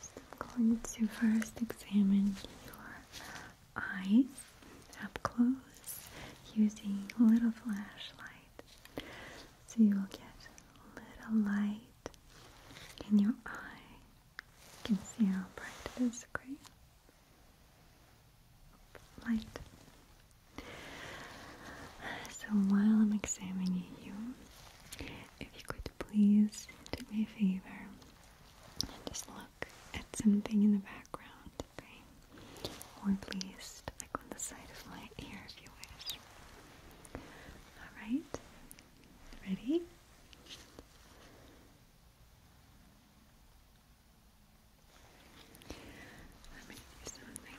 First, I'm going to first examine your eyes up close using a little flashlight. So you will get a little light in your eye. You can see how bright it is, great. Light. So while I'm examining you, if you could please do me a favor and just look at something in the background, okay? Or please look on the side of my ear if you wish. Alright, ready? I'm do something.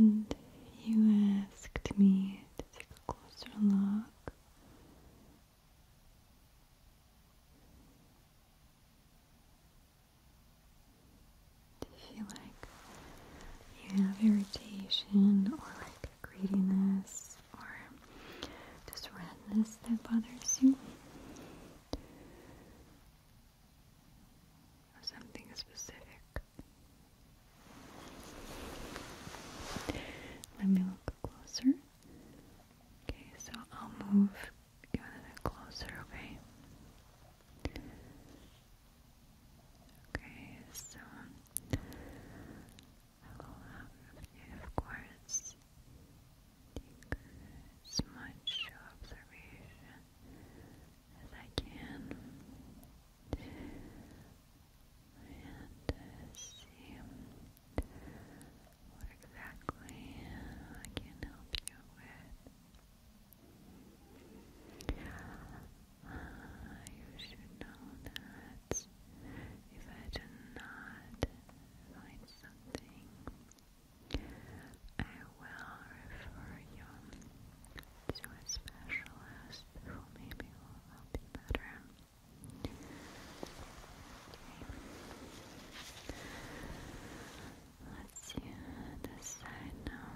And you asked me to take a closer look. Do you feel like you have irritation or like greediness or just redness that bothers you? Or something specific? Let me look closer. Okay, so I'll move a little closer, okay? Okay, so I will have you, of course, take as much observation as I can and uh, see what exactly I can help you with. Uh, you should know that words if I do not find something. I will refer you to a specialist who maybe will help you better. Let's see this side now.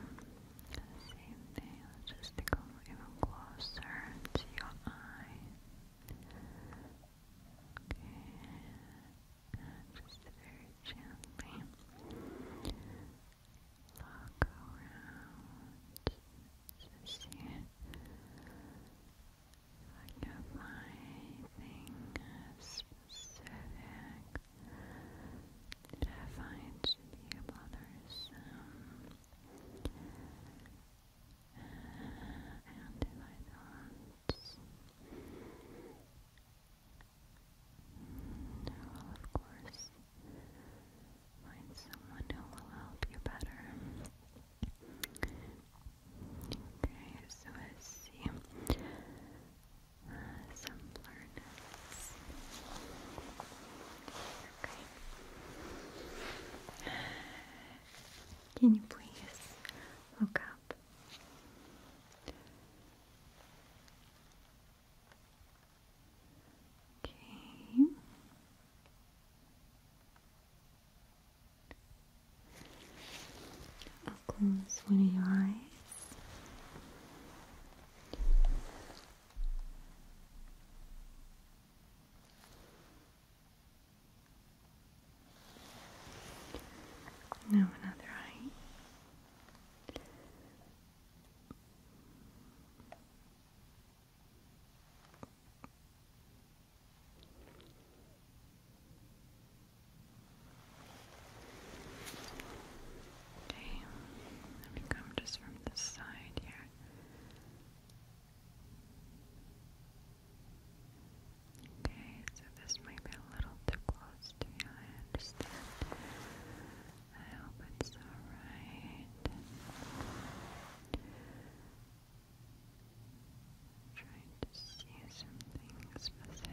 Same thing, let's just come even closer to your eye and just very gently look around see if I can find anything specific that I find to be bothersome. Uh, and if not of course find someone who will help you better. Okay, so let's see some learners. Okay. Can you please look up? Okay. close one of your eyes. Now another eye. Okay, let me come just from this side here. Okay, so this might be a little too close to you, I understand. I hope it's alright. Trying to see something specific.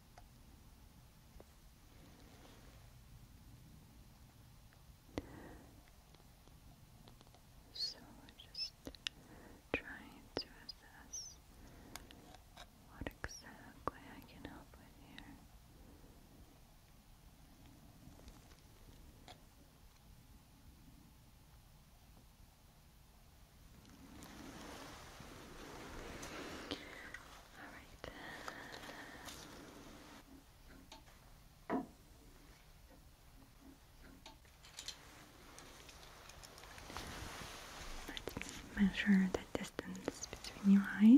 So we just trying to assess what exactly I can help with here. Let's measure the distance between your eyes.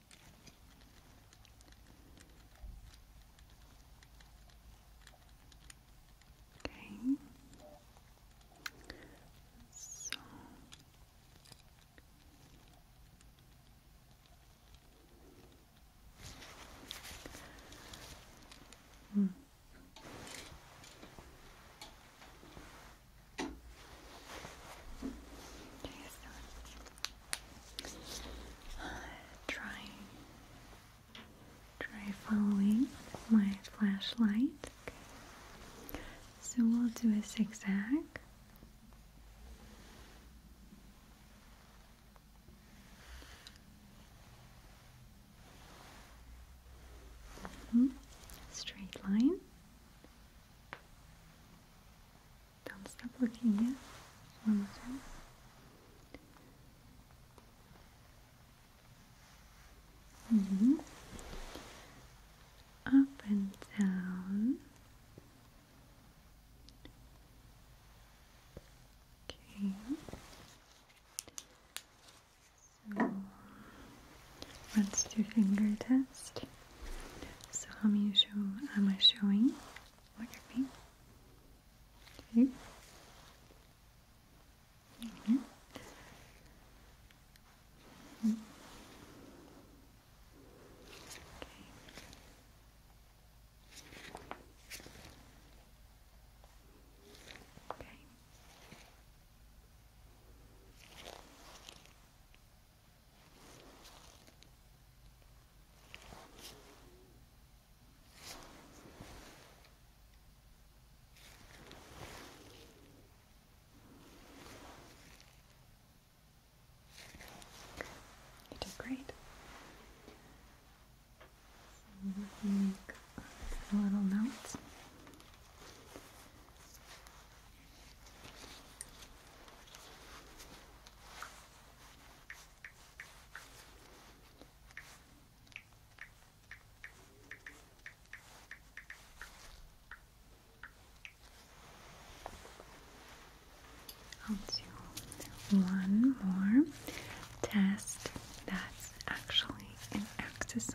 Okay. So Hmm try, try following my flashlight. So we'll do a zigzag. Hmm, straight line. Don't stop looking yet. One more time. Mm-hmm. Up and down. Okay. So let's do finger test. So how am I showing? What you think? Okay. You did great. let me make a little note. I'll do one more test that's actually an exercise,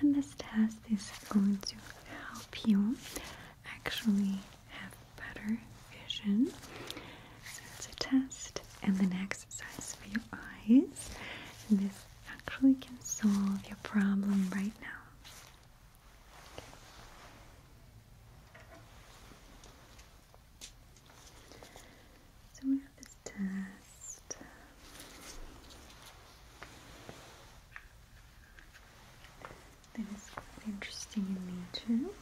and this test is going to help you actually have better vision. So it's a test and next exercise for your eyes. this actually can solve your problem right now. So we have this test. That is interesting in nature.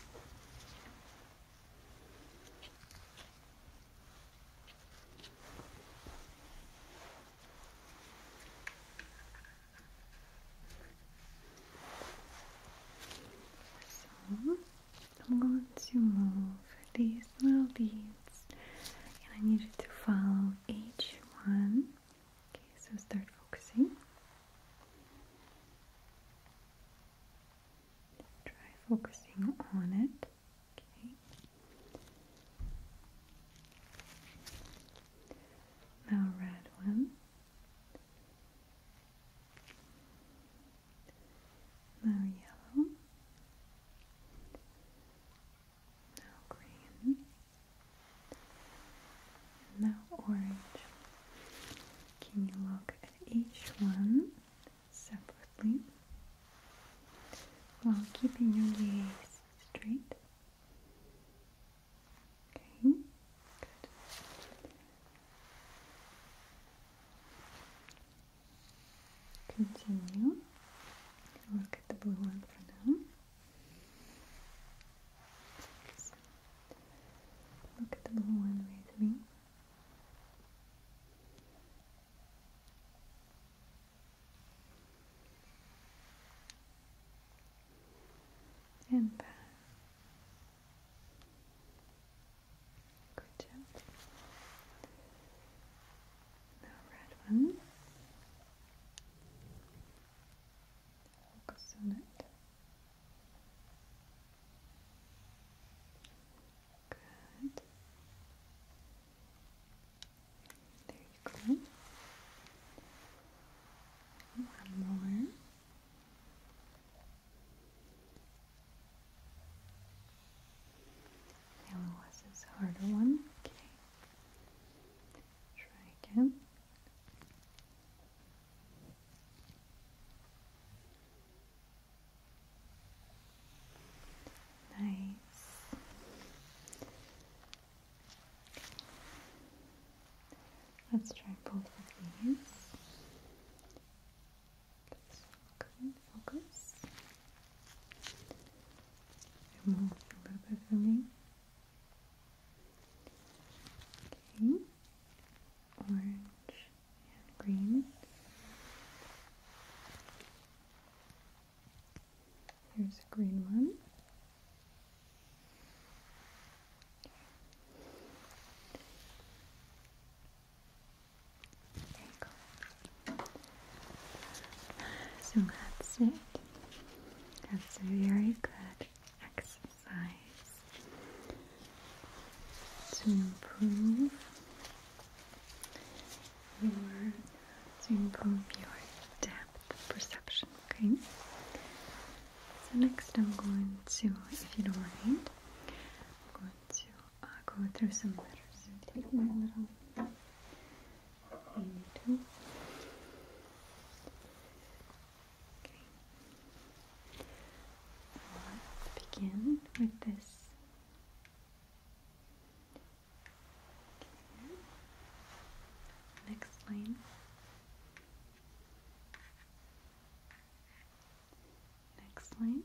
So I'm going to move these little beads and I need you to follow each one Okay, so start focusing. Try focusing on it. Okay. Now, red one. Now, yellow now green, now orange. Can you look at each one separately while keeping your gaze straight? Okay, good. Continue. Look at the blue one for now. Look at the blue one with me. And back. Good job. Now red one. Focus on it. Good. There you go. One more. Yellow was harder one. Okay. Try again. Nice. Let's try both of these. Focus, focus. Remove a little bit for me. Okay. Orange and green. Here's a green one. So that's it. That's very good exercise to improve your improve your depth perception. Okay. So next, I'm going to, if you don't mind, I'm going to uh, go through some letters. Take my little Let's begin with this. Next line. Next line.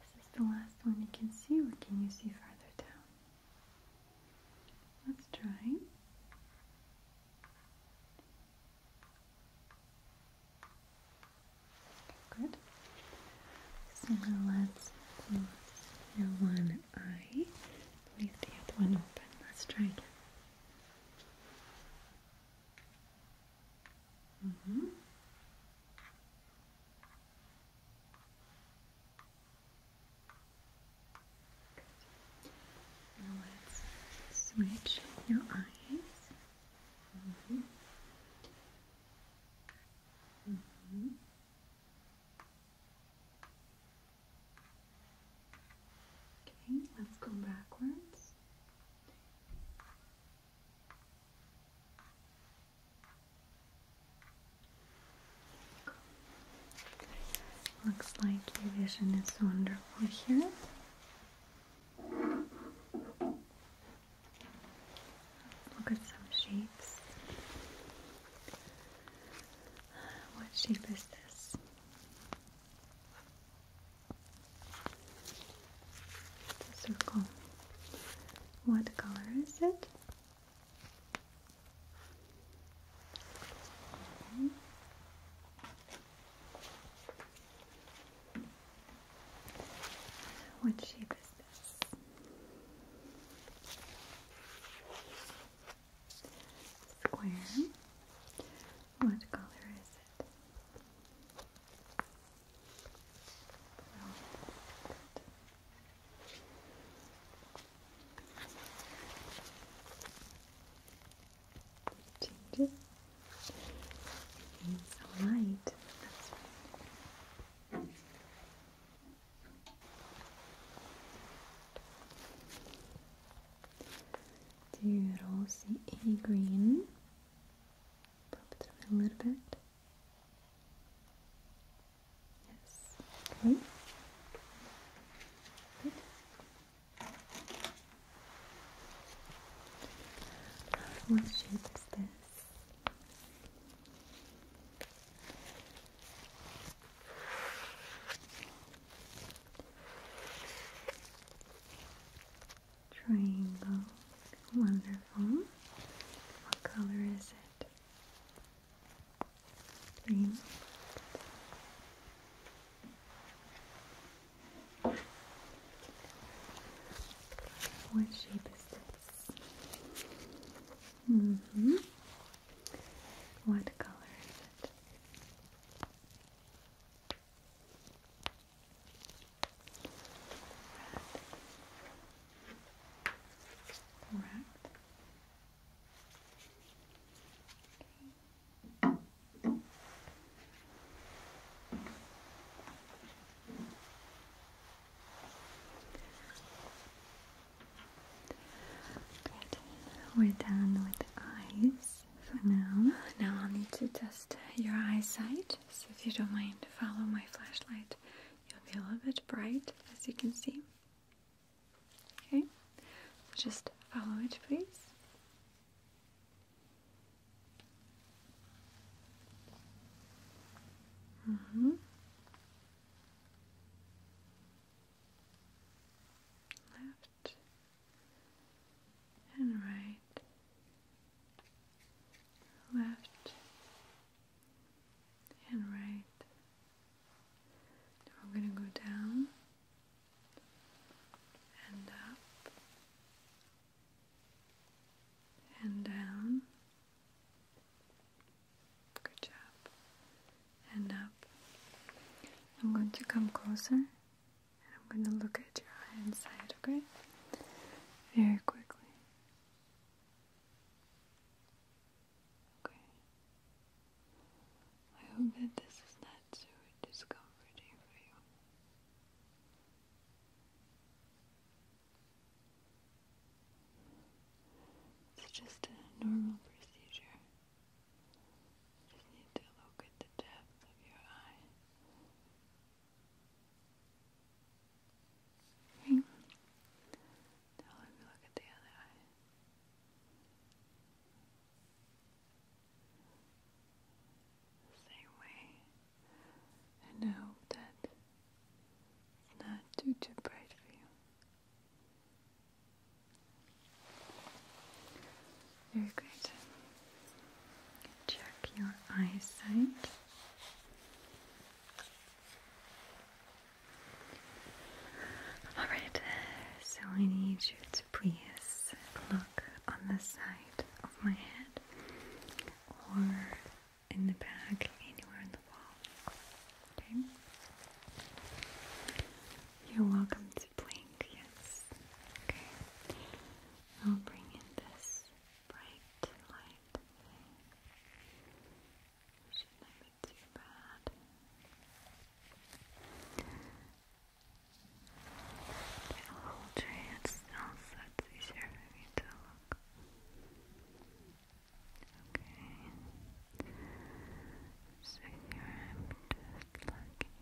This Is the last one you can see, or can you see farther down? Let's try. Good. So now let's close your one eye. Leave the other one open. Let's try again. Mm let's switch your eyes. Mm-hmm. Okay, let's go backwards. Looks like your vision is wonderful here. Look at some shapes. What shape is this? circle. What color is it? Mm-hmm. What shape is this? Square. What color is it? It's all right. Do rosy a green. Pop it through a little bit. Yes. Okay. What shape is this? Triangle. Wonderful. What color is it? What shape is this? Mm-hmm. What color is it? Red. Okay. We're done with the eyes for now. Now I'll need to test your eyesight. So if you don't mind, follow my flashlight. You'll be a little bit bright, as you can see. Okay, just follow it, please. Mm-hmm. Left and right, left and right. Now we're going to go down and up and down. Good job. And up. I'm going to come closer and I'm going to look at your eye inside, okay? Very quickly. Okay. I hope that this is not too discomforting for you. It's just a normal procedure. Just need to look at the depth of your eye. Okay. let me look at the other eye. Same way. I hope that it's not too too bright for you. Very good. Check your eyesight. Alright, uh, so I need you to please look on the side of my head or in the back, anywhere in the wall. Okay? You're welcome to blink, yes. Okay. I'll bring in this bright light. It shouldn't be too bad. The whole tree it's also it's easier for me to look. Okay. So here I'm just looking for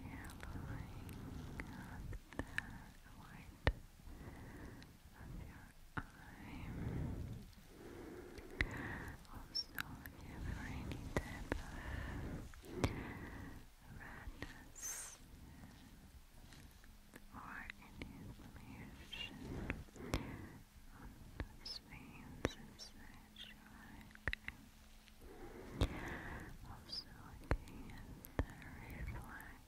yellowing of the white of your eye. Also, if you have any type of redness or inflammation on those veins inside your eye. Also, looking at the reflex.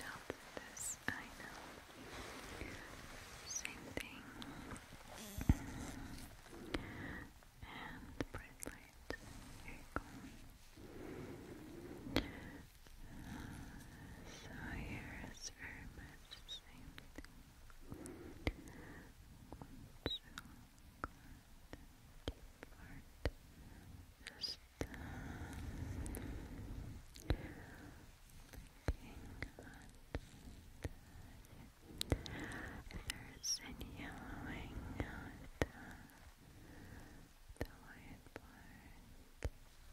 now this I know same thing and bright light you so here is very much same thing so good deep part is if there's any yellowing out the white part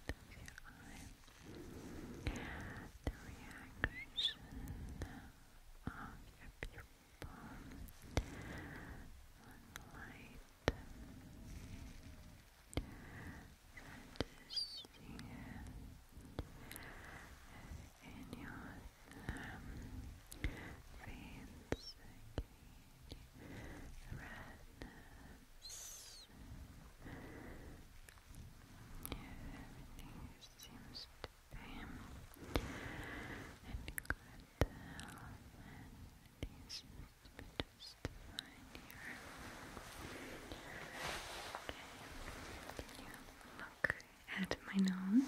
of your eye, the reaction of your pupil on light just here your veins circulating redness everything seems to be these just find here. Okay, can you look at my nose?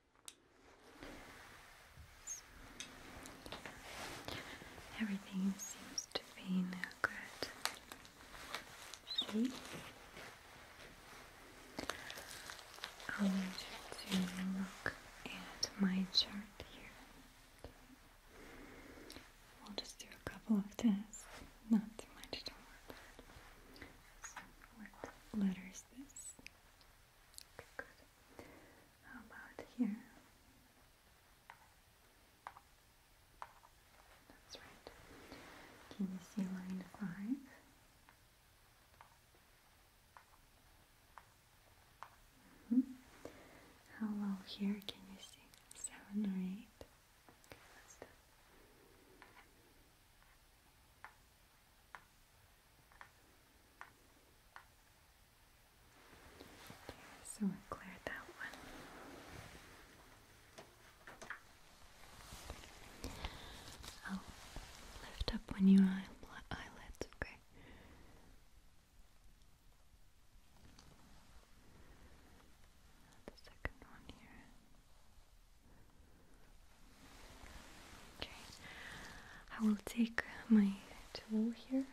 Everything seems to be in good shape. I'll need you to look at my chart here. Okay. We'll just do a couple of tests, not too much to work what letter is this? Okay, good. How about here? That's right. Can you see line five? -hmm. How well here can you see? Seven or eight? Okay, that's done so we cleared that one. I'll lift up when you eyelids, okay? The second one here. Okay, I will take my tool here. And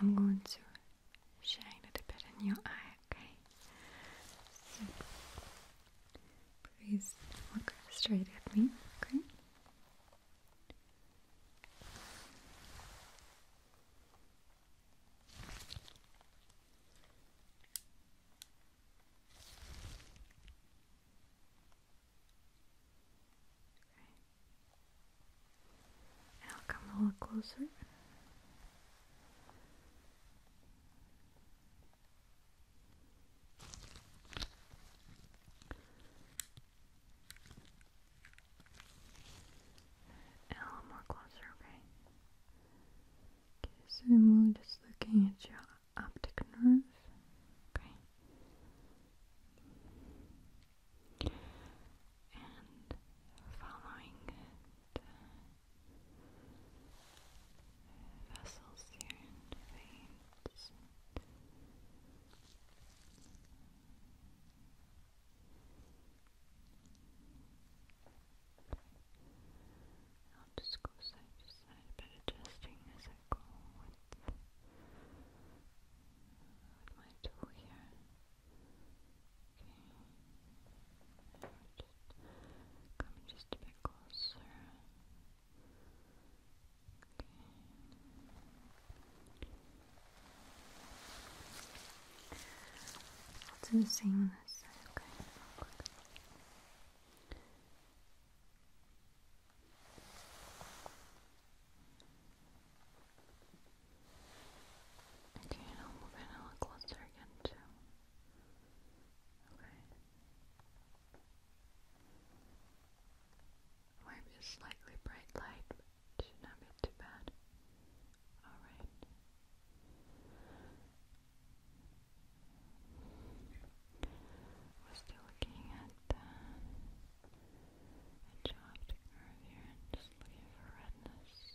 I'm going to shine a bit in your eye okay? So, please look straight at me, okay? Okay. I'll come a little closer. A little more closer, okay? Okay, so we're just looking at your optic nerve. Okay. And following it vessels here and veins. I'll just go side to side, adjusting as I go with my tool here just come just a bit closer. Okay. I'll do the same on this side, okay? Real quick. Okay, and I'll move in a little closer again too. Okay. Might slightly bright light, but should not be too bad. Alright. We're still looking at uh, a job and just looking for redness.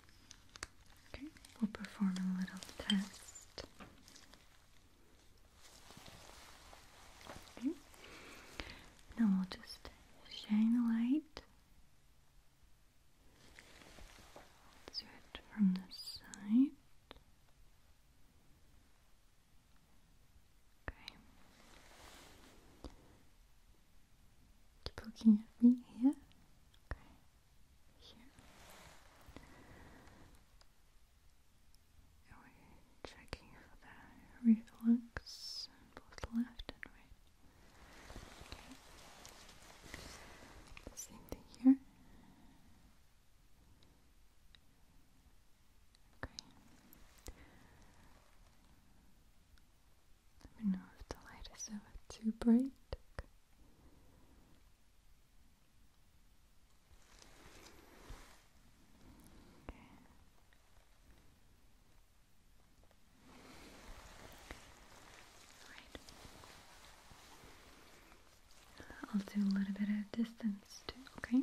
Okay, we'll perform a little test. Okay. Now we'll just shine the light. let from the side. Okay. Keep looking at me here. Okay here. we checking for that reflux both left and right. Okay. same thing here. Okay. Let me know if the light is ever too bright. I'll do a little bit of distance too, okay?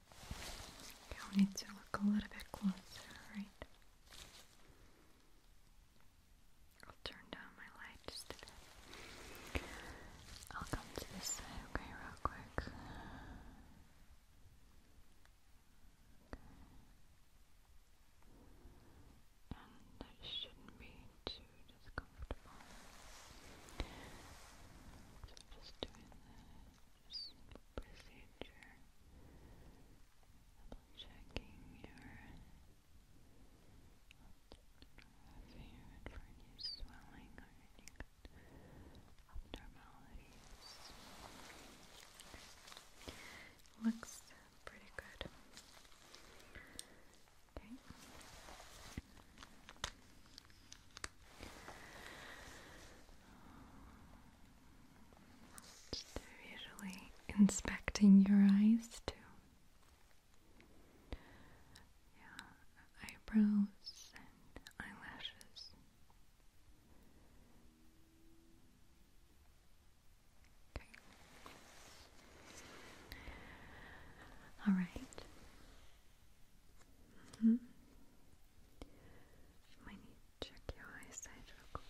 I need to look a little bit closer, right? I'll turn down my light just a bit. I'll come to this side, okay, real quick. And it shouldn't be too discomfortable. So just doing that first procedure, checking your favorite for any swelling or any abnormalities. Looks pretty good. Okay. Just inspecting your eyes too. Yeah, eyebrows and eyelashes. Okay. All right. -hmm. I need to check your eyesight real quick.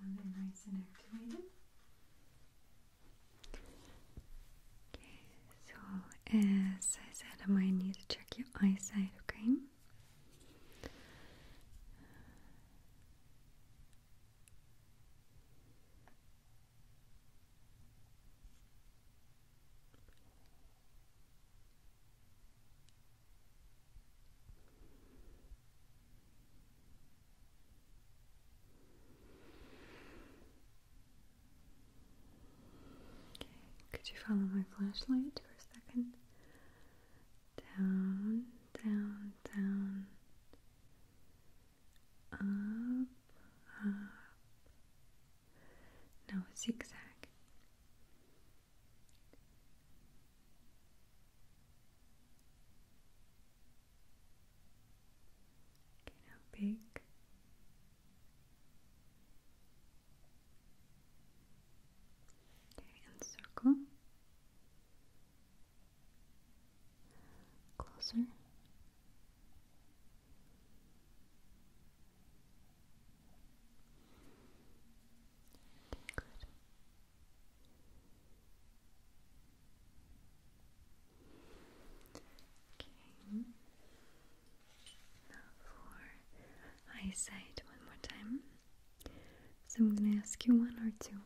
Now they Okay, so as I said, I might need to check your eyesight, okay? could you follow my flashlight for a second? Down, down, down, up, up. Now a zigzag. Okay, now big. Okay, and circle. Closer. Okay, good. Okay. Now for eyesight, one more time. So I'm gonna ask you one or two,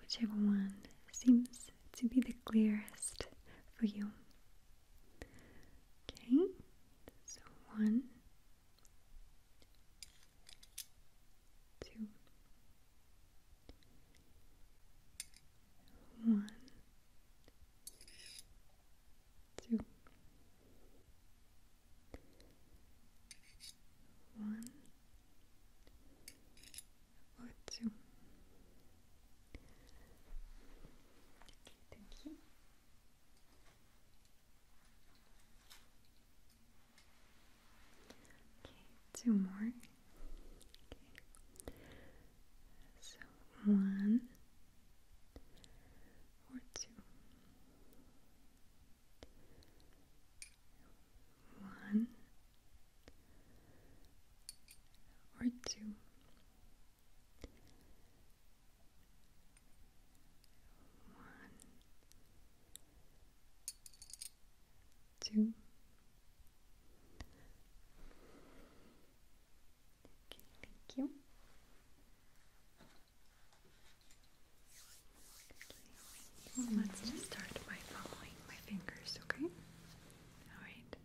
whichever one seems to be the clearest for you. Okay, so one, two, one, two, one, thank you two more. So one or two. One or two. One, two. Okay, thank you. let's just start by following my fingers, okay? Alright.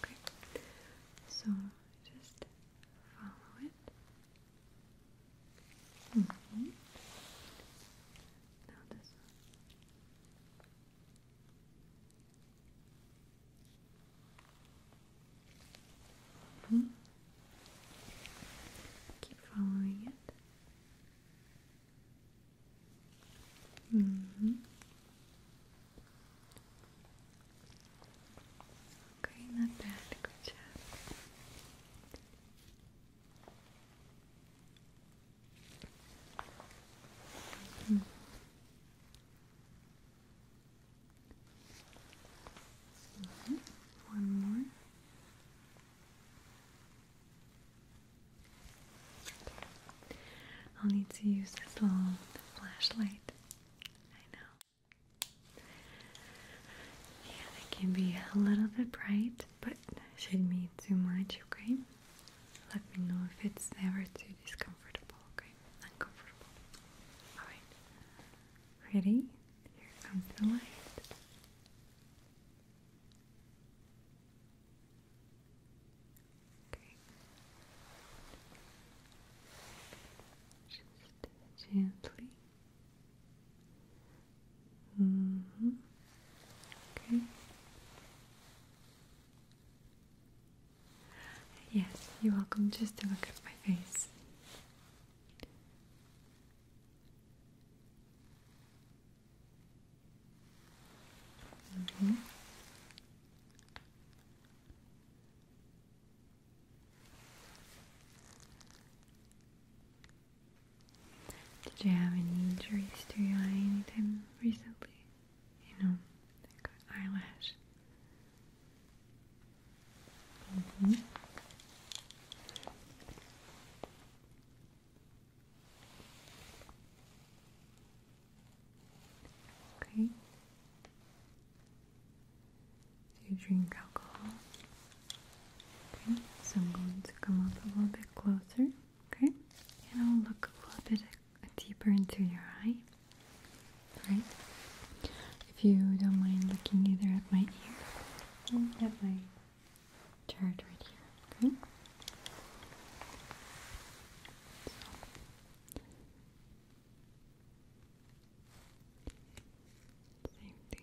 Okay. So just follow it. Mm -hmm. Keep following it. Mm -hmm. Okay, Good job. One more. I'll need to use this little flashlight. I know. Yeah, it can be a little bit bright but shouldn't me too much, okay? Let me know if it's ever too discomfortable, okay? Uncomfortable. Alright. Ready? Here comes the light. Okay. Just gently -hmm. Okay. Yes, you're welcome just to look at my face. -hmm. Did you have any injuries to your eye anytime recently? You know, like eyelash. Mm-hmm. Okay. Do you drink alcohol? Okay, so I'm going to come up a little bit closer, okay? And I'll look a little bit deeper into your eye, right? If you don't mind looking either at my ear or mm, at my chart right here, okay? Same thing.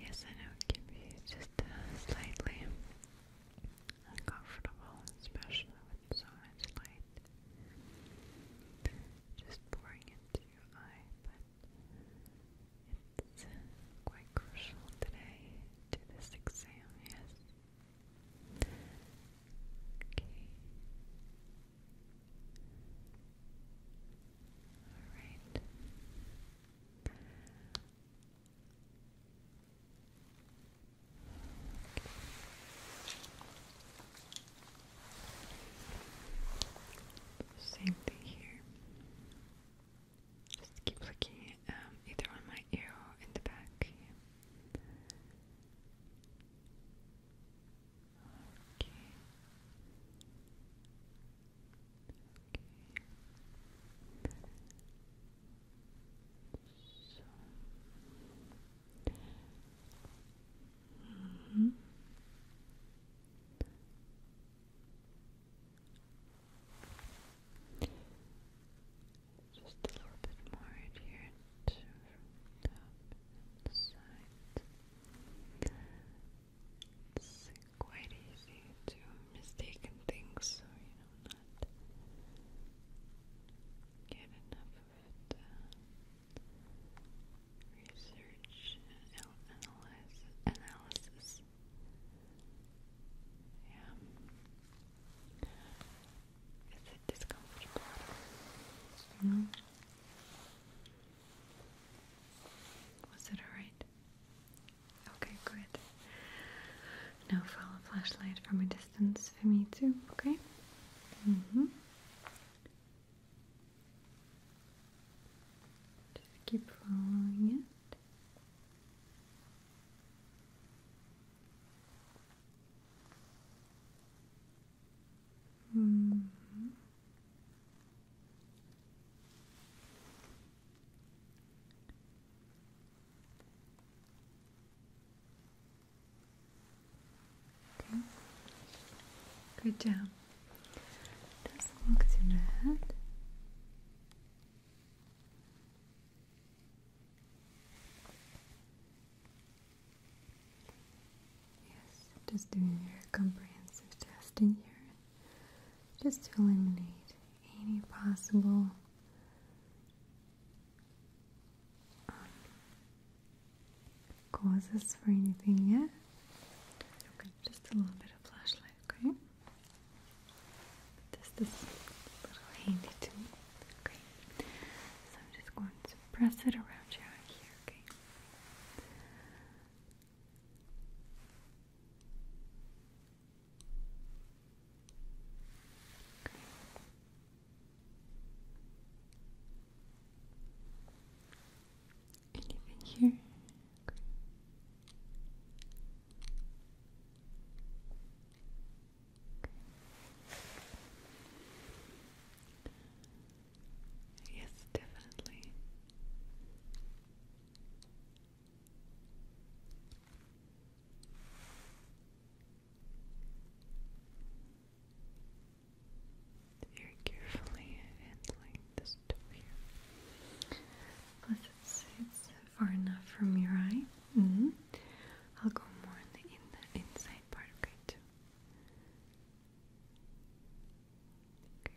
Yes, I know it can be just uh, slightly uncomfortable, especially with so much light just pouring into your eye, but it's uh, quite crucial today to this exam, yes. Okay. Alright. Same thing here. Just keep looking um, either on my ear or in the back. Okay. So. Mm -hmm. Just a little bit more right here to from top and side. It's quite easy to mistaken things, so you know, not get enough of it. Uh, research, analysis, Yeah. Is it discomfortable? No. Was it alright? Okay, good. Now follow flashlight from a distance for me too, okay? Mm-hmm. Just keep following it. Mm-hmm. Okay. Good job. Just walk through Yes, just doing your comprehensive testing here just to eliminate any possible um, causes for anything, yeah? just a little bit of flashlight, okay? Just this little handy tool, okay? So I'm just going to press it around here, okay? Great. Anything here? Yes, definitely. Very carefully handling this toe here. Plus, it's, it's far enough from your eye. Mm-hmm. I'll go more in the, inside part, okay, too. Okay.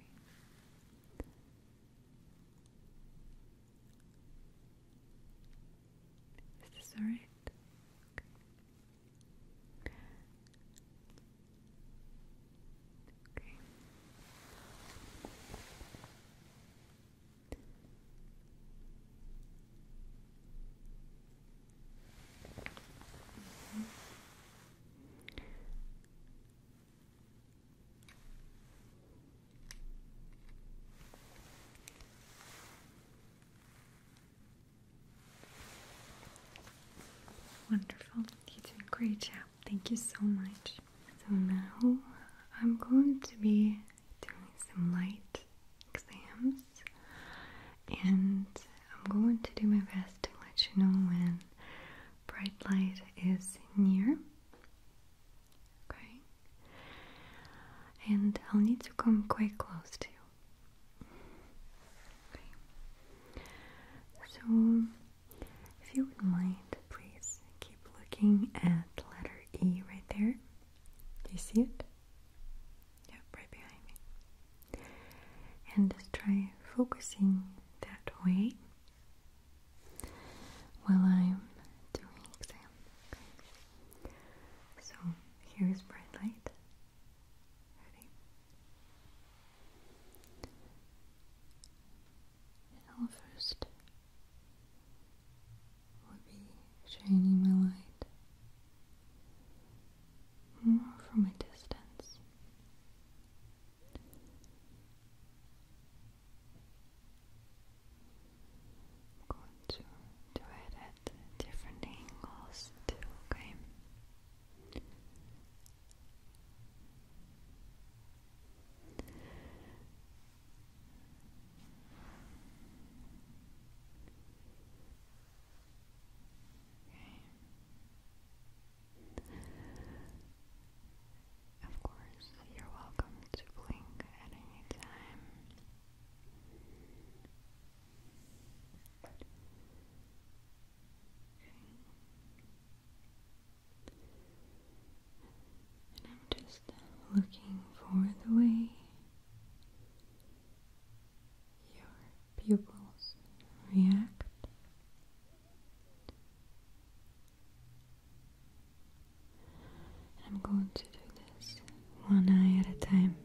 Is this alright? Okay. okay. Mm -hmm. Wonderful, you did a great job. Thank you so much. So now I'm going to be doing some light exams and I'm going to do my best to let you know when bright light is near. Okay. And I'll need to come quite close to you. Okay. So, if you would mind, please keep looking at letter E right there. Do you see it? Yep, right behind me. And just try focusing that way while I'm doing exam. So here is bright light. Ready? I'll first would be shining my light more from a distance. I'm going to do it at different angles too, okay? Okay. Of course, you're welcome to blink at any time. And I'm just looking for the way your pupils react. I'm going to do this one eye at a time.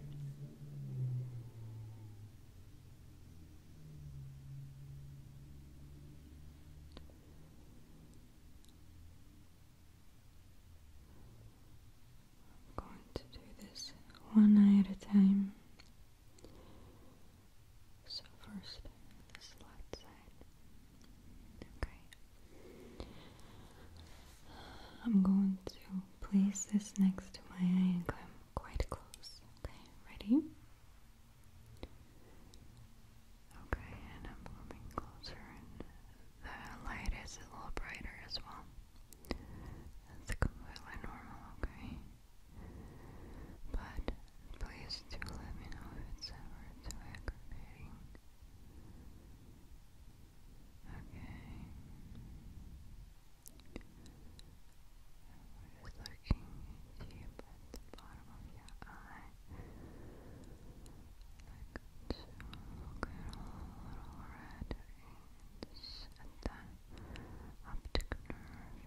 I'm going to do this one eye at a time. So first, this light side. Okay. I'm going to place this next to my eye and come quite close. Okay, ready? Okay, and I'm coming closer and the light is a little brighter as well. That's completely normal, okay? But please do let me know if it's ever too aggravating. Okay. I'm looking deep at the bottom of your eye. Like to look at little red ends the optic nerve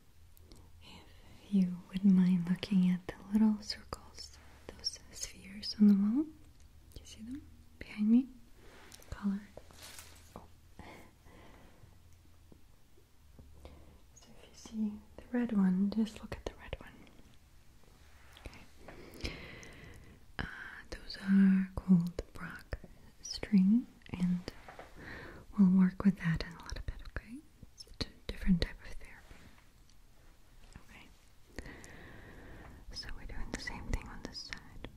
if you wouldn't mind looking at the little circles, those spheres on the wall. Do you see them behind me? Colored. Oh. So if you see the red one, just look at the red one. Okay. Uh, those are called Brock string and we'll work with that in a little bit, okay? It's a different type of therapy. Okay. So we're doing the same thing on this side.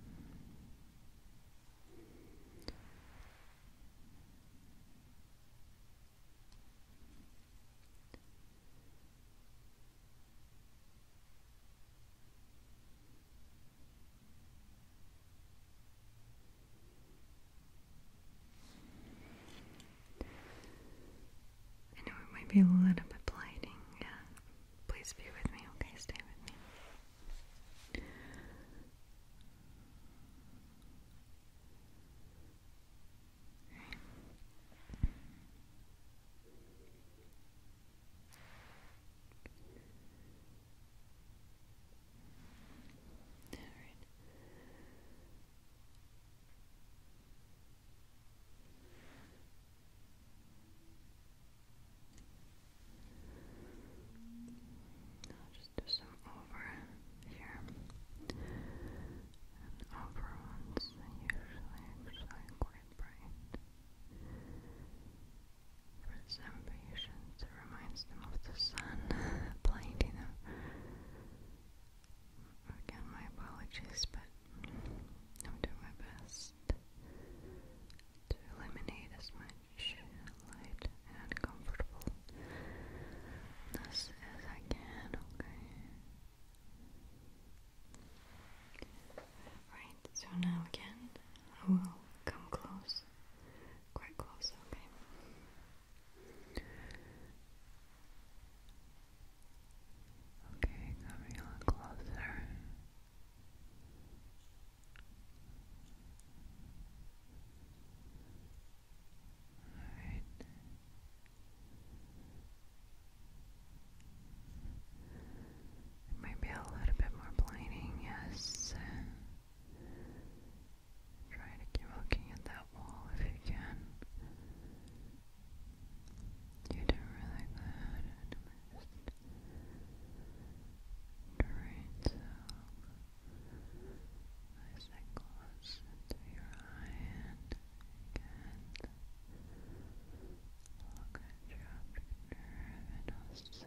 I know it might be a little bit blinding, yeah. Please be with me, okay? Stay with me. All right. just do some over here over ones usually actually quite bright. For some patients, it reminds them of the sun blinding them. Again, my apologies, but I'm doing my best to eliminate as much light and uncomfortableness as I can, okay? Right, so now again, I will come close quite close, okay? Okay, coming a little closer. Alright. It a little bit more blinding, yes. Try to keep looking at that wall if you can. You do really good at least. Alright, so nice and close to your eye and again. Look at your optic nerve and also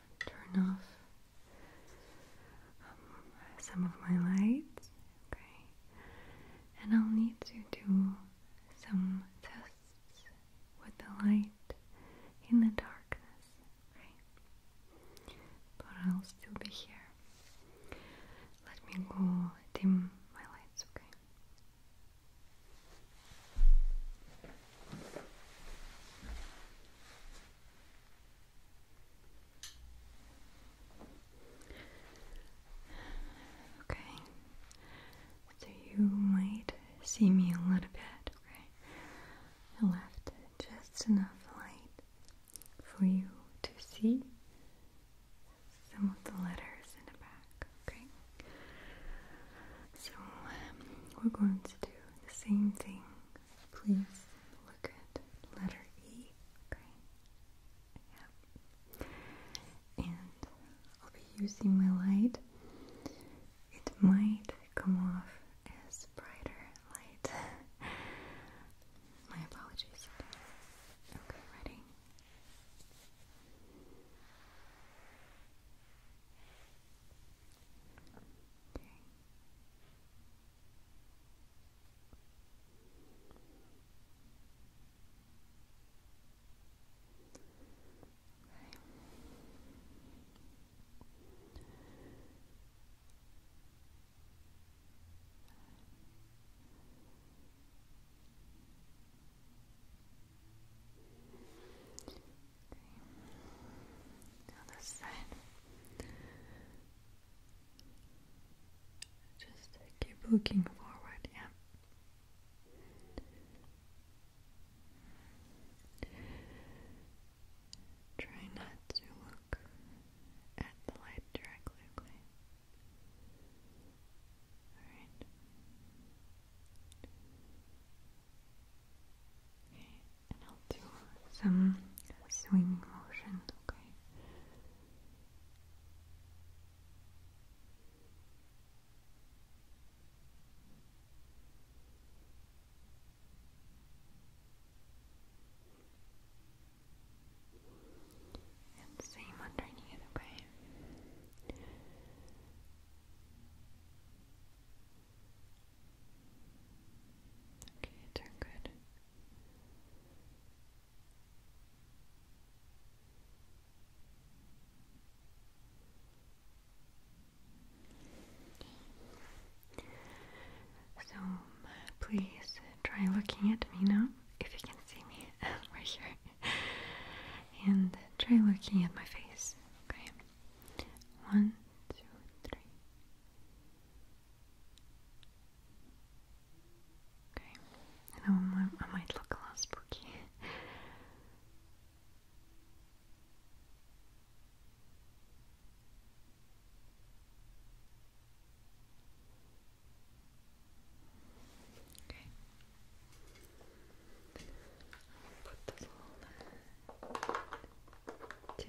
turn off some of my lights, okay? And I'll need to do some tests with the light in the darkness, okay? But I'll still be here. Let me go dim my lights, Okay, Okay, so you might see me a little bit, okay? I left just enough light for you to see some of the letters in the back, okay? So um, we're going to do the same thing. Please look at letter E, okay? Yeah. And I'll be using my light. It might come off as brighter light. my apologies. Okay, ready? Okay. The other just keep looking forward, yeah. Try not to look at the light directly, Alright and I'll do some swinging motion, okay? And same underneath, okay? Okay, turn good. So please try looking at me now, if you can see me right here, and try looking at my face. Okay, one, two, three. Okay, I know I might look a little spooky. Okay. put this little tip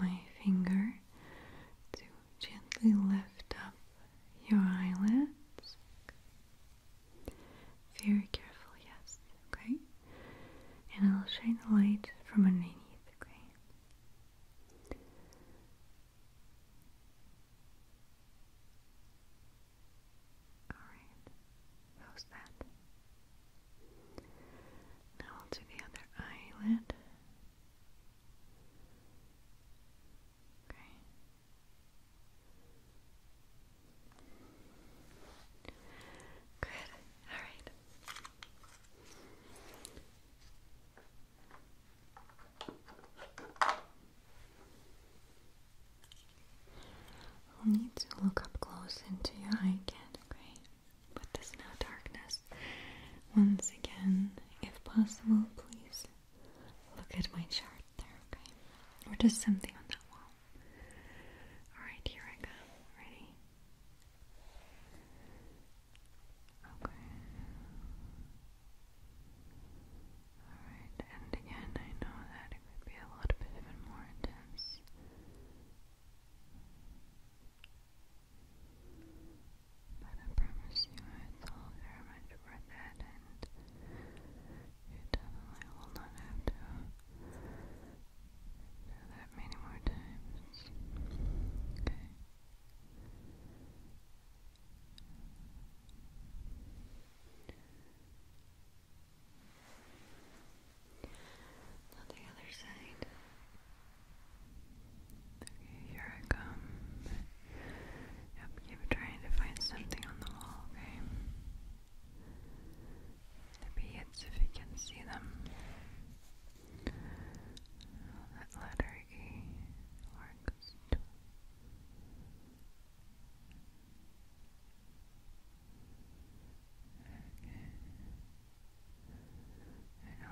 my finger to gently lift up your eyelids. Very careful, yes, okay? And I'll shine the light from underneath, okay? Alright, how's that? Now I'll do the other eyelid. Okay. Good. All right. I'll need to look up close into your eye okay? but there's no darkness. Once again, if possible, please look at my chart there, okay? Or just something on that wall. Alright, here I go. Ready? Okay. Alright, and again, I know that it would be a little bit even more intense. But I promise you it's all very much worth it and you definitely will not have to do that many more times. Okay. On the other side. Okay, here I come. Yep, keep trying to find something on the wall, okay? The beads, if you can see them. that letter E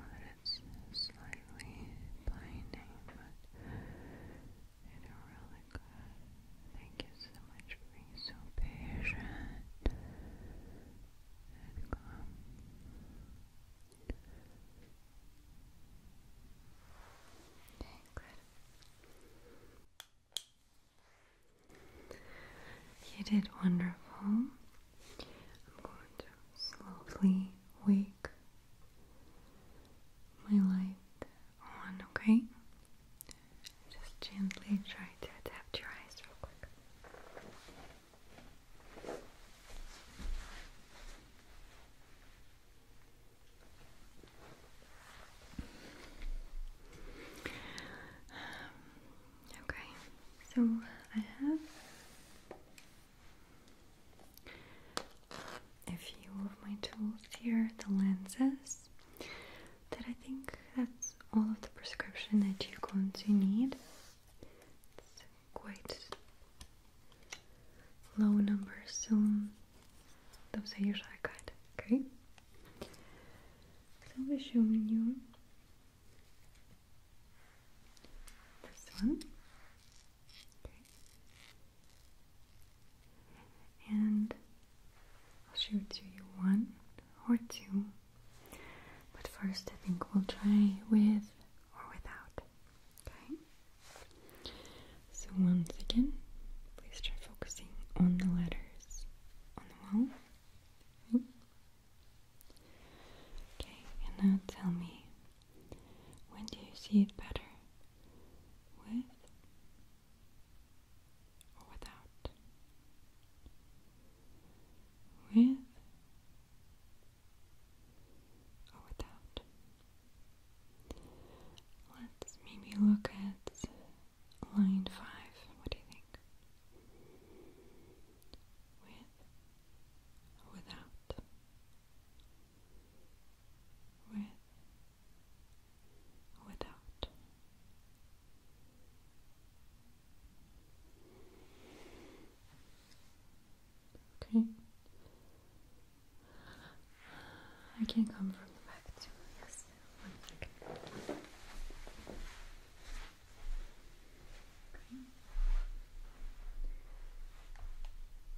Okay slightly blinding, but they really good. Thank you so much for being so patient You did wonderful slowly wake my light on, okay? Just gently try to adapt your eyes real quick. Okay, so I have a few of my tools here, the lenses that I think that's all of the prescription that you're going to need. quite low numbers, so those are usually good. Okay, so I'll be showing you this one. And I'll shoot you one or two. But first, I think we'll try with or without. Okay? So, once again, please try focusing on the letters on the wall. Okay. and now tell me, when do you see it better? With or without? With or without? Let's maybe look at line five. What do you think? With without, with, without. Okay. I can come from the back too. Yes, one second. Okay.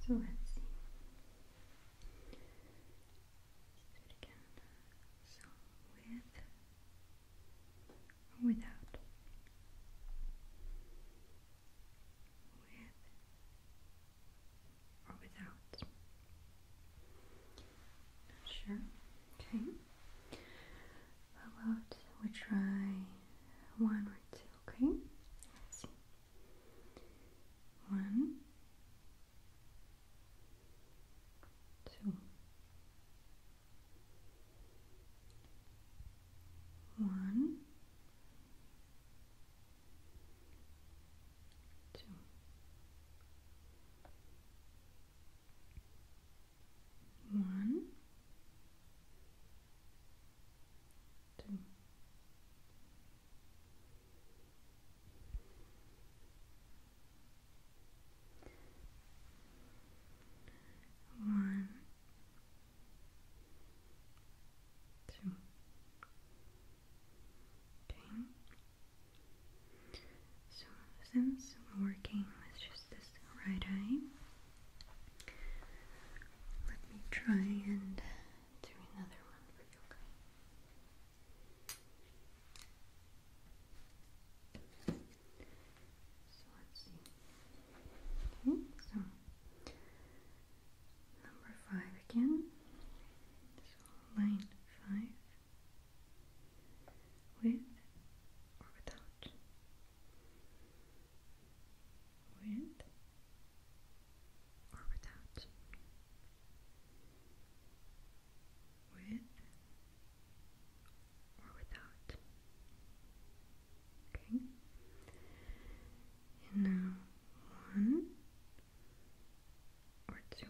So let's see. So with without with or without. Not sure. Okay. How about we try one or two, okay? One, two, one, two, one, So since we're working with just this right eye, let me try and do another one for you, okay? So let's see. Okay, so number five again. So line five with or without out with or without with or without okay now one or two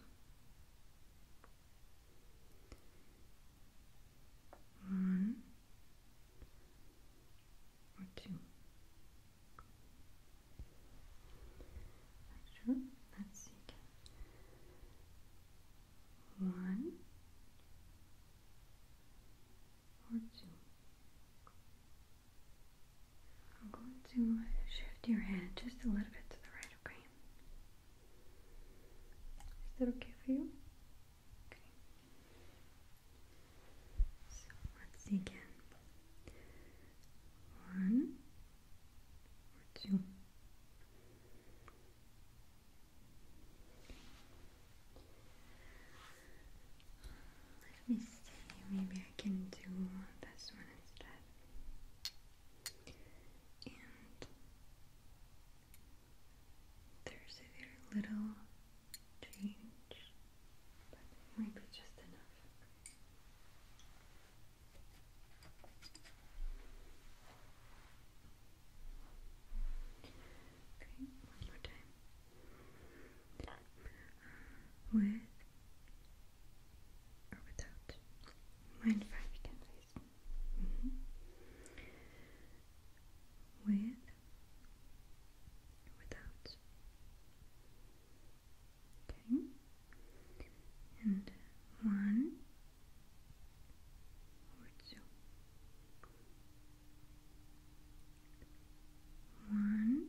one or two. let's see One or two. I'm going to shift your head just a little bit to the right, okay? Is that okay for you? Okay. So once again, one two. Let me see, maybe I can do this one instead. And there's a very little change, but it might be just enough. Okay, one time. Uh, with or without mind five, ten days with without. Okay. And one or two. One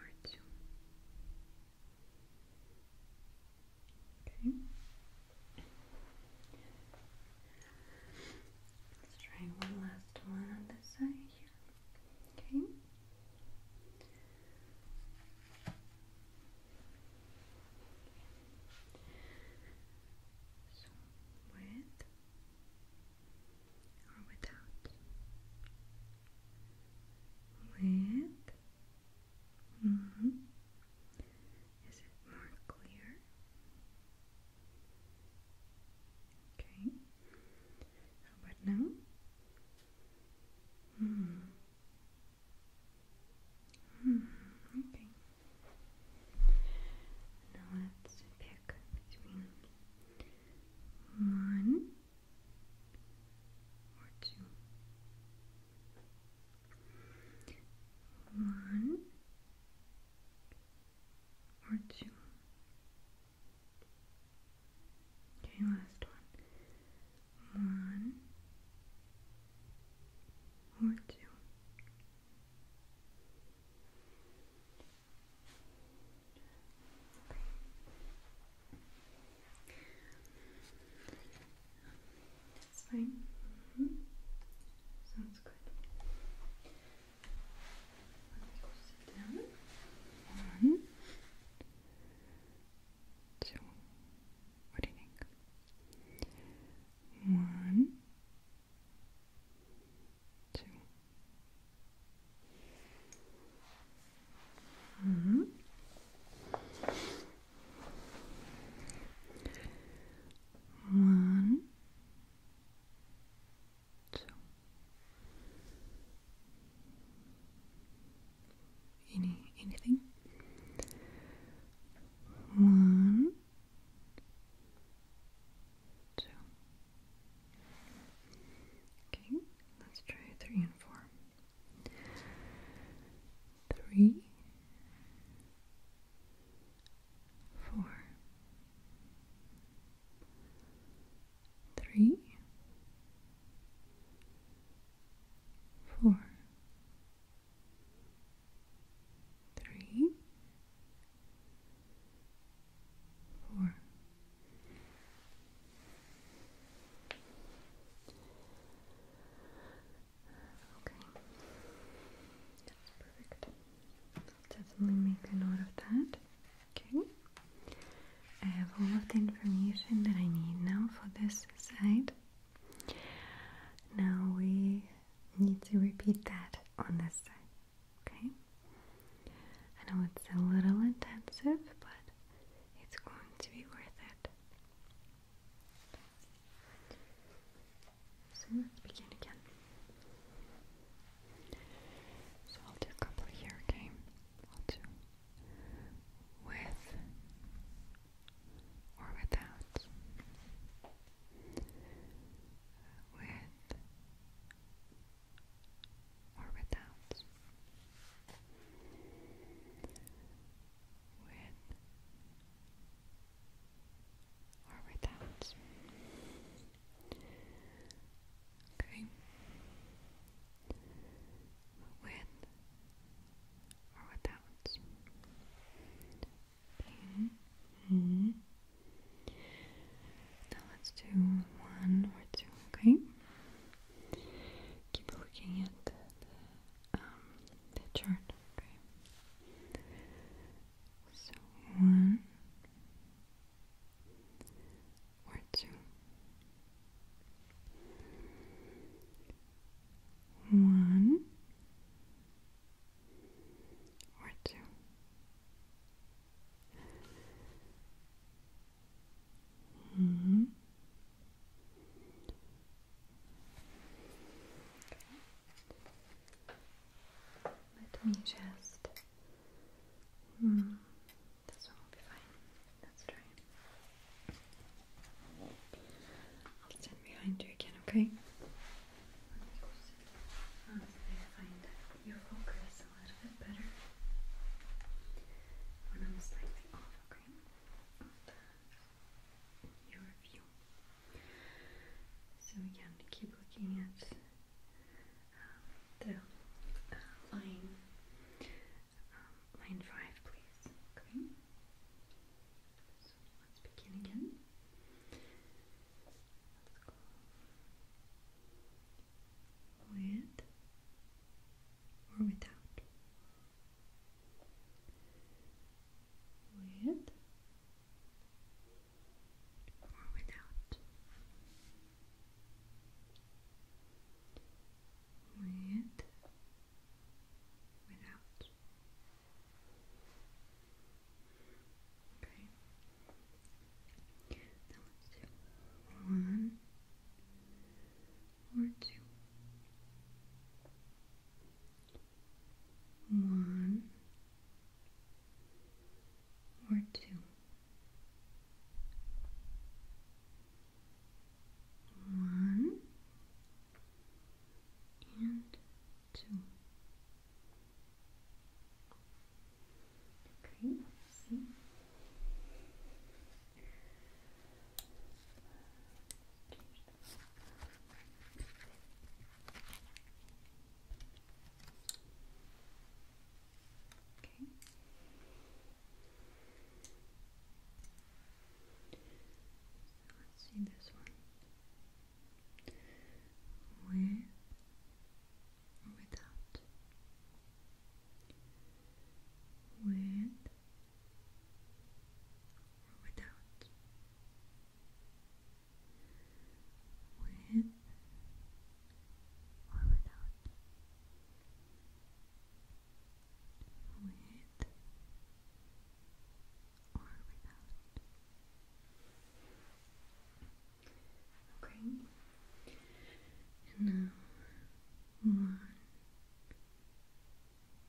or two. Okay. Let's try one last one on this side here. Okay. So with or without? With Mm -hmm. Is it more clear? Okay. How about now? Hmm. Hmm. Okay. Now let's pick between one or two. One or two. Okay, last one. One or two. That's fine. Mm-hmm. Sounds good. Let me go sit down. One, mm-hmm. two. What do you think? One, two. Mm -hmm. One, two. Any anything? One, two. Okay, let's try three and four three, four, three, four, three, four. Okay. That's perfect. i definitely make a note of that. Okay. I have all of the information that I need now for this side. Now we need to repeat that on this side. Okay. I know it's a little intensive, but it's going to be worth it. So let's begin again. So I'll do a couple here, okay? I'll do with or without. With or without. With or without. Okay. With or without pain. Mm-hmm. Mm-hmm. Now let's do one or two, okay? Keep looking at the um, chart. Okay. So one or two. One or two. One let me just. Hmm, this one will be fine. Let's I'll stand behind you again, okay? Honestly, uh, I find that you focus a little bit better when I'm slightly off, okay? Your view. So we can keep looking at um, the uh, line, um, line five, please. Okay. let's begin again. with or without with or without, with without. Okay. Now let's one or two one or two. One and two. Okay, see. Okay. So let's see this one. With or without. With or without with or without, with or without. Okay, and now one.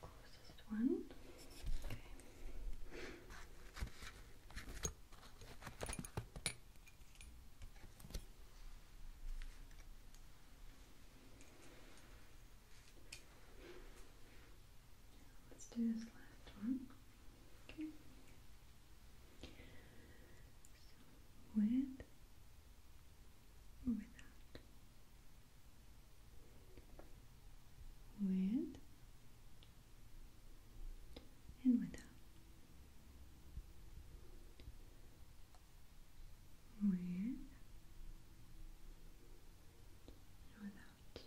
closest one. Okay. Let's do this last one. Okay. with or without with and without with and without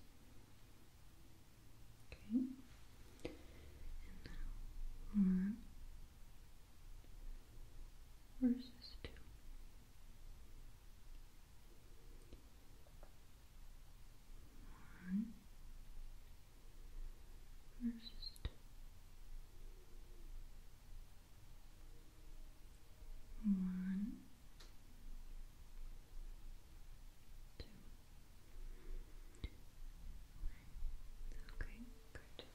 okay and now one versus two one first one two okay good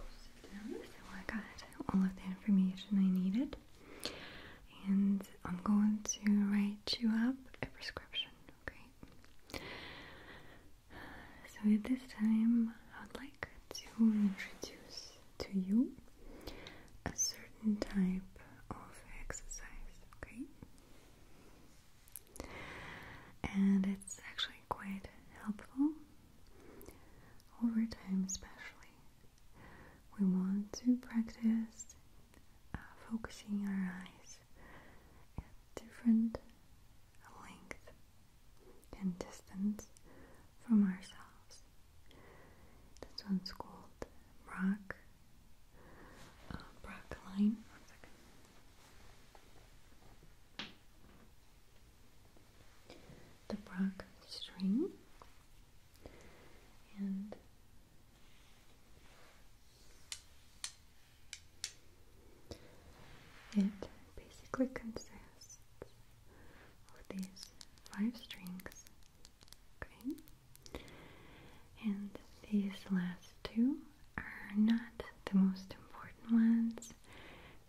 so I got all of the information I needed, and I'm going to write you up a prescription. Okay. So at this time, I would like to introduce to you a certain type of exercise. Okay and it's actually quite helpful over time, especially. We want to practice uh, focusing our eyes at different length and distance from ourselves. This one's called Brock. Uh, the Prague string and it basically consists of these five strings okay and these last two are not the most important ones.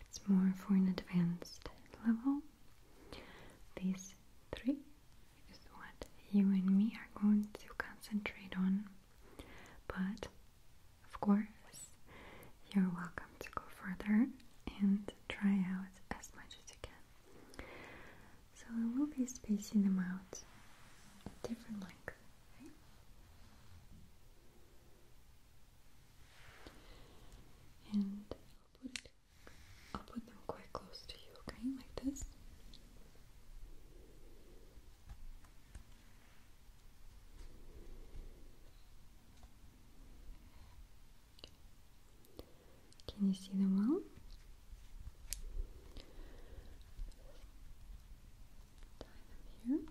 It's more for an advanced level. These three is what you and me are going to concentrate on. But of course, you're welcome to go further and try out as much as you can. So I will be spacing them out at different lengths. And I'll put, I'll put them quite close to you, okay? Like this. Can you see them well? tie them here. Okay.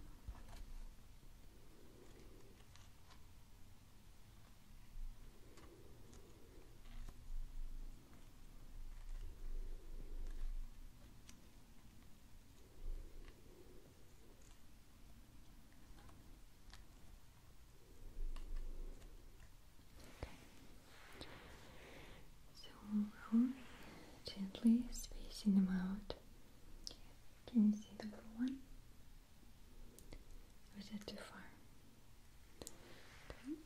So only um, gently spacing them out. Can you see the blue one? Or is that too far? Okay.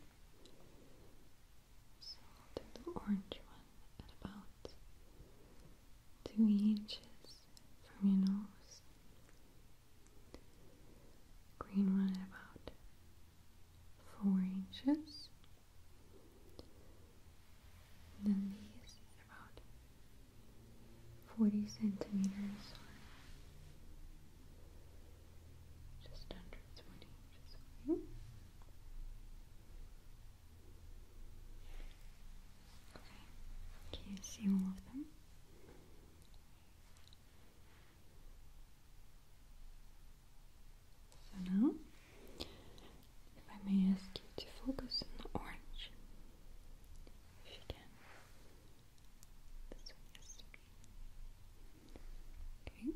So i the orange one at about two inches from your nose. Green one at about four inches then these about 40 centimeters just under 20 hmm? Okay, can you see all of them? So now if I may ask you to focus on the orange, if you can. This one, Okay.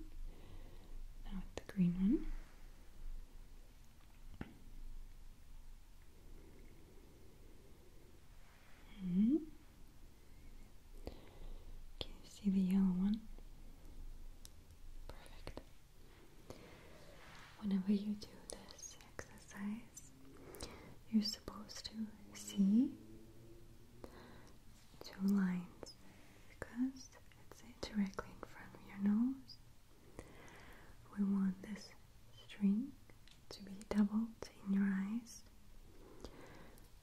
Now the green one. Hmm. Can you see the yellow one? Perfect. Whenever you do this exercise, you're supposed to see two lines because it's directly in front of your nose. We want this string to be doubled in your eyes,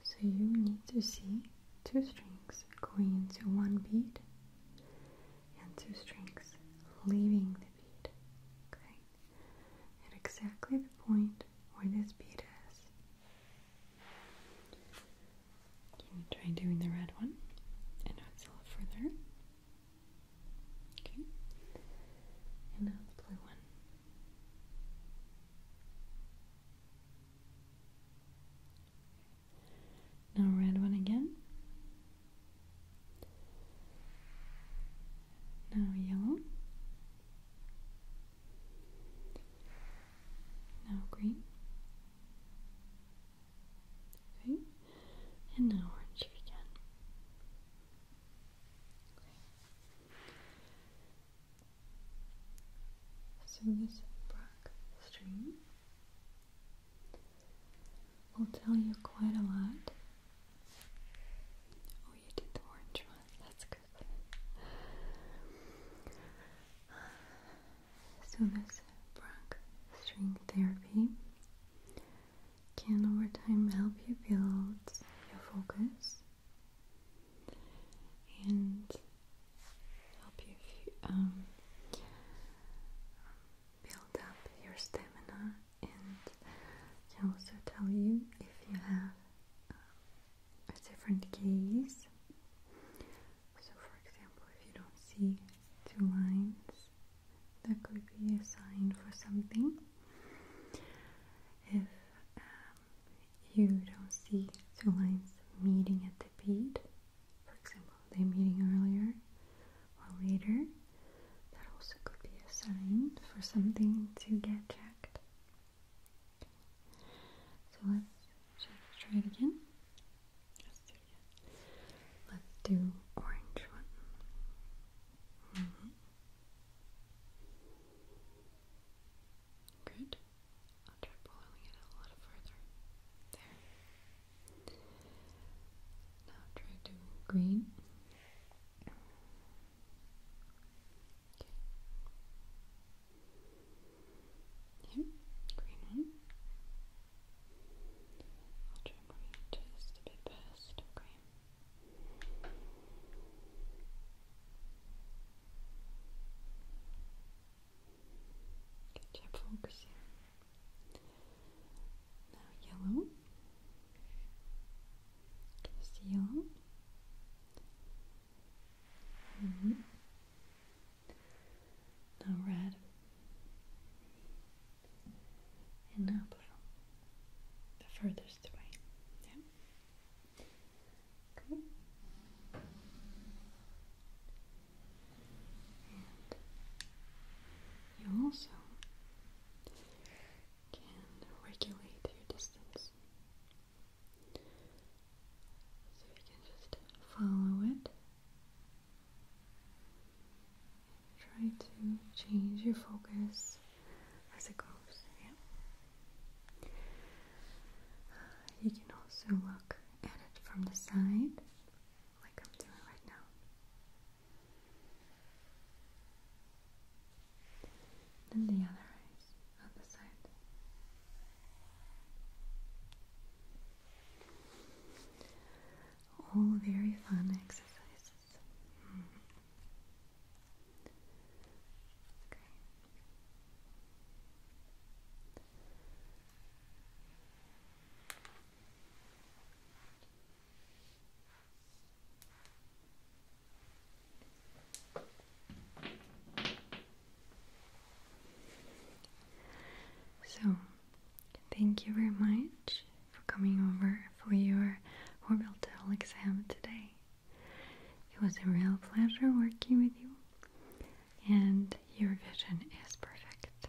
so you need to see two strings going into one bead and two strings leaving the bead, okay? At exactly the point where this bead is. Can you try doing the red one? I know it's a little further. Okay. And the blue one. Now red one again. Now yellow. Now green. Okay. And now orange again. Okay. So this black string will tell you quite a lot. Oh, you did the orange one. That's good. So this string therapy can over time help you build your focus and help you um, build up your stamina and can also tell you if you have um, a different case. So, for example, if you don't see two lines, that could be a sign for something. If um, you don't see two lines meeting at the bead, for example, they meeting earlier or later, that also could be a sign for something to get checked. So let's just try it again. Let's Let's do orange one. Mm-hmm. Good. Now try to green. Okay. green one. I'll try green just a bit past. Okay. Catch up focus now yellow. Just yellow. Mm -hmm. Now red. And now blue. The furthest away. Yeah. Okay you also can regulate your distance. So you can just follow it. Try to change your focus as it goes. You can also look at it from the side like I'm doing right now. Then the other eyes on the side. All very fun exercises. Okay. So, thank you very much for coming over for your orbital exam today. It was a real pleasure working with you, and your vision is perfect.